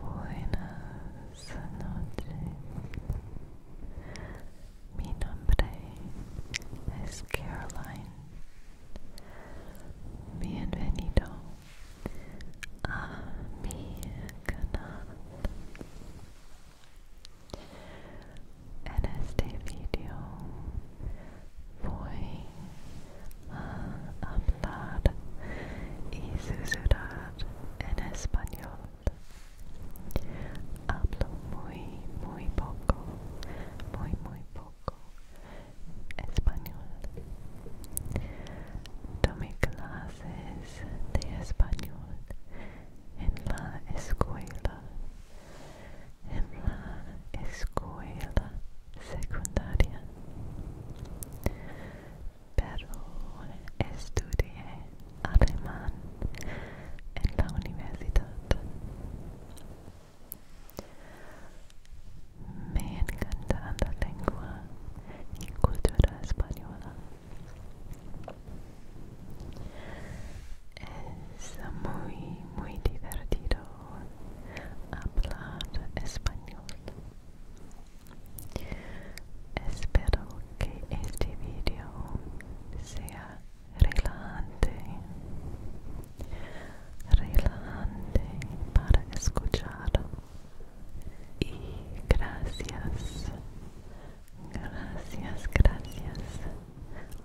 Buenas noches. Mi nombre es Caroline. Bienvenido a mi canal. En este video voy a hablar y susurrar en español. Hablo muy, muy poco, muy, muy poco español. Tomé clases de español en la escuela, en la escuela secundaria. pero estudié alemán en la universidad. Me encanta la lengua y cultura española. Es muy, muy divertido hablar español. Espero que este video sea relevante, relevante para escuchar y gracias, gracias, gracias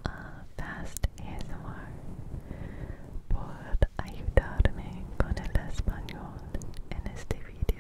a Fast por ayudarme con el español en este video.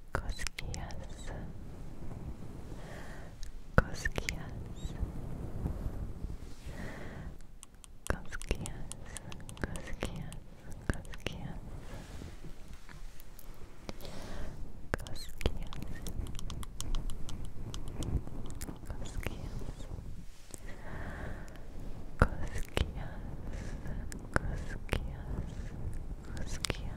cosquillas, cosquillas, cosquillas, cosquillas, cosquillas, cosquillas, cosquillas. Cosquillas, cosquillas, cosquillas,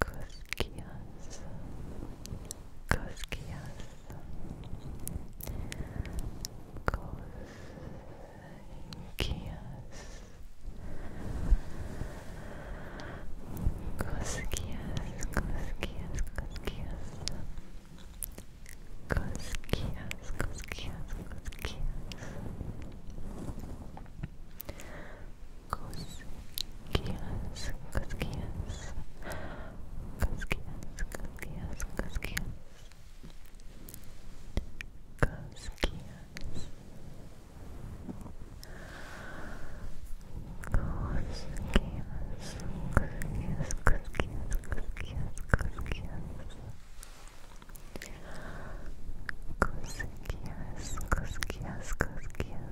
Koskias, Koskias, Koskias, Koskias, Koskias, Koskias, Koskias, Koskias, Koskias. Cosquillas, cosquillas, cosquillas, cosquillas, cosquillas, cosquillas, cosquillas, cosquillas, cosquillas, cosquillas, cosquillas. Cosquillas, cosquillas, cosquillas,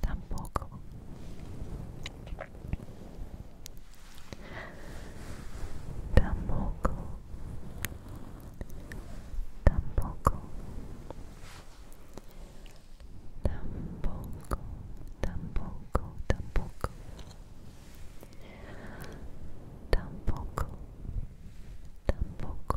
Tampoco. Tampoco. Tampoco. Tampoco. Tampoco. Tampoco. Tampoco. Tampoco.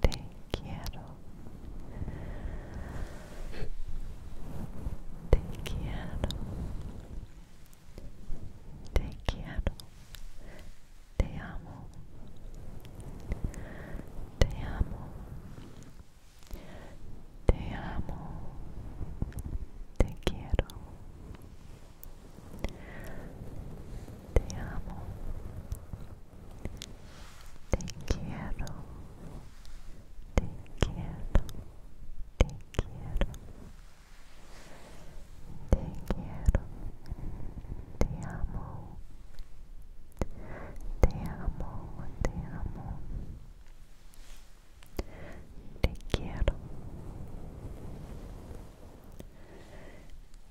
Te quiero. Te quiero. Te quiero. Te amo. Te amo. Te amo. Te quiero. Te amo. Te quiero. Te quiero. Te quiero. Te quiero. Te amo. Te amo. Te amo. Te quiero.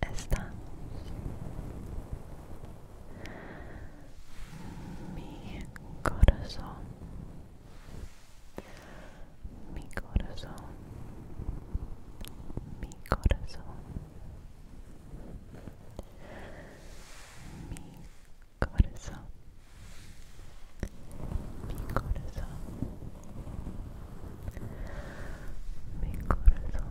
estamos mi corazón mi corazón mi corazón mi corazón mi corazón mi corazón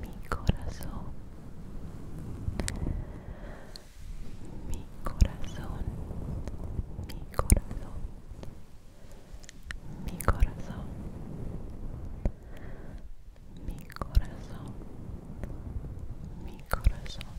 Mi corazón, mi corazón, mi corazón, mi corazón, mi corazón, mi corazón.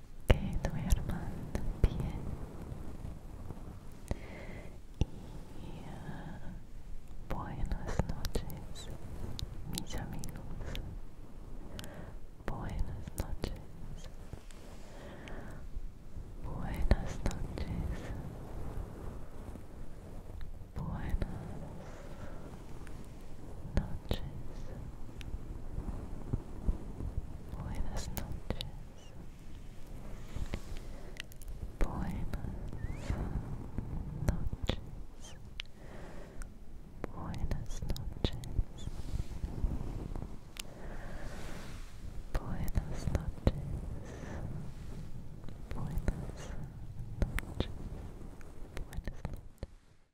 que duerman bien y ah, buenas noches mis amigos buenas noches buenas noches buenas notches buenas noches buenas noches buenas noches Buenas noches. Buenas noches. Buenas noches.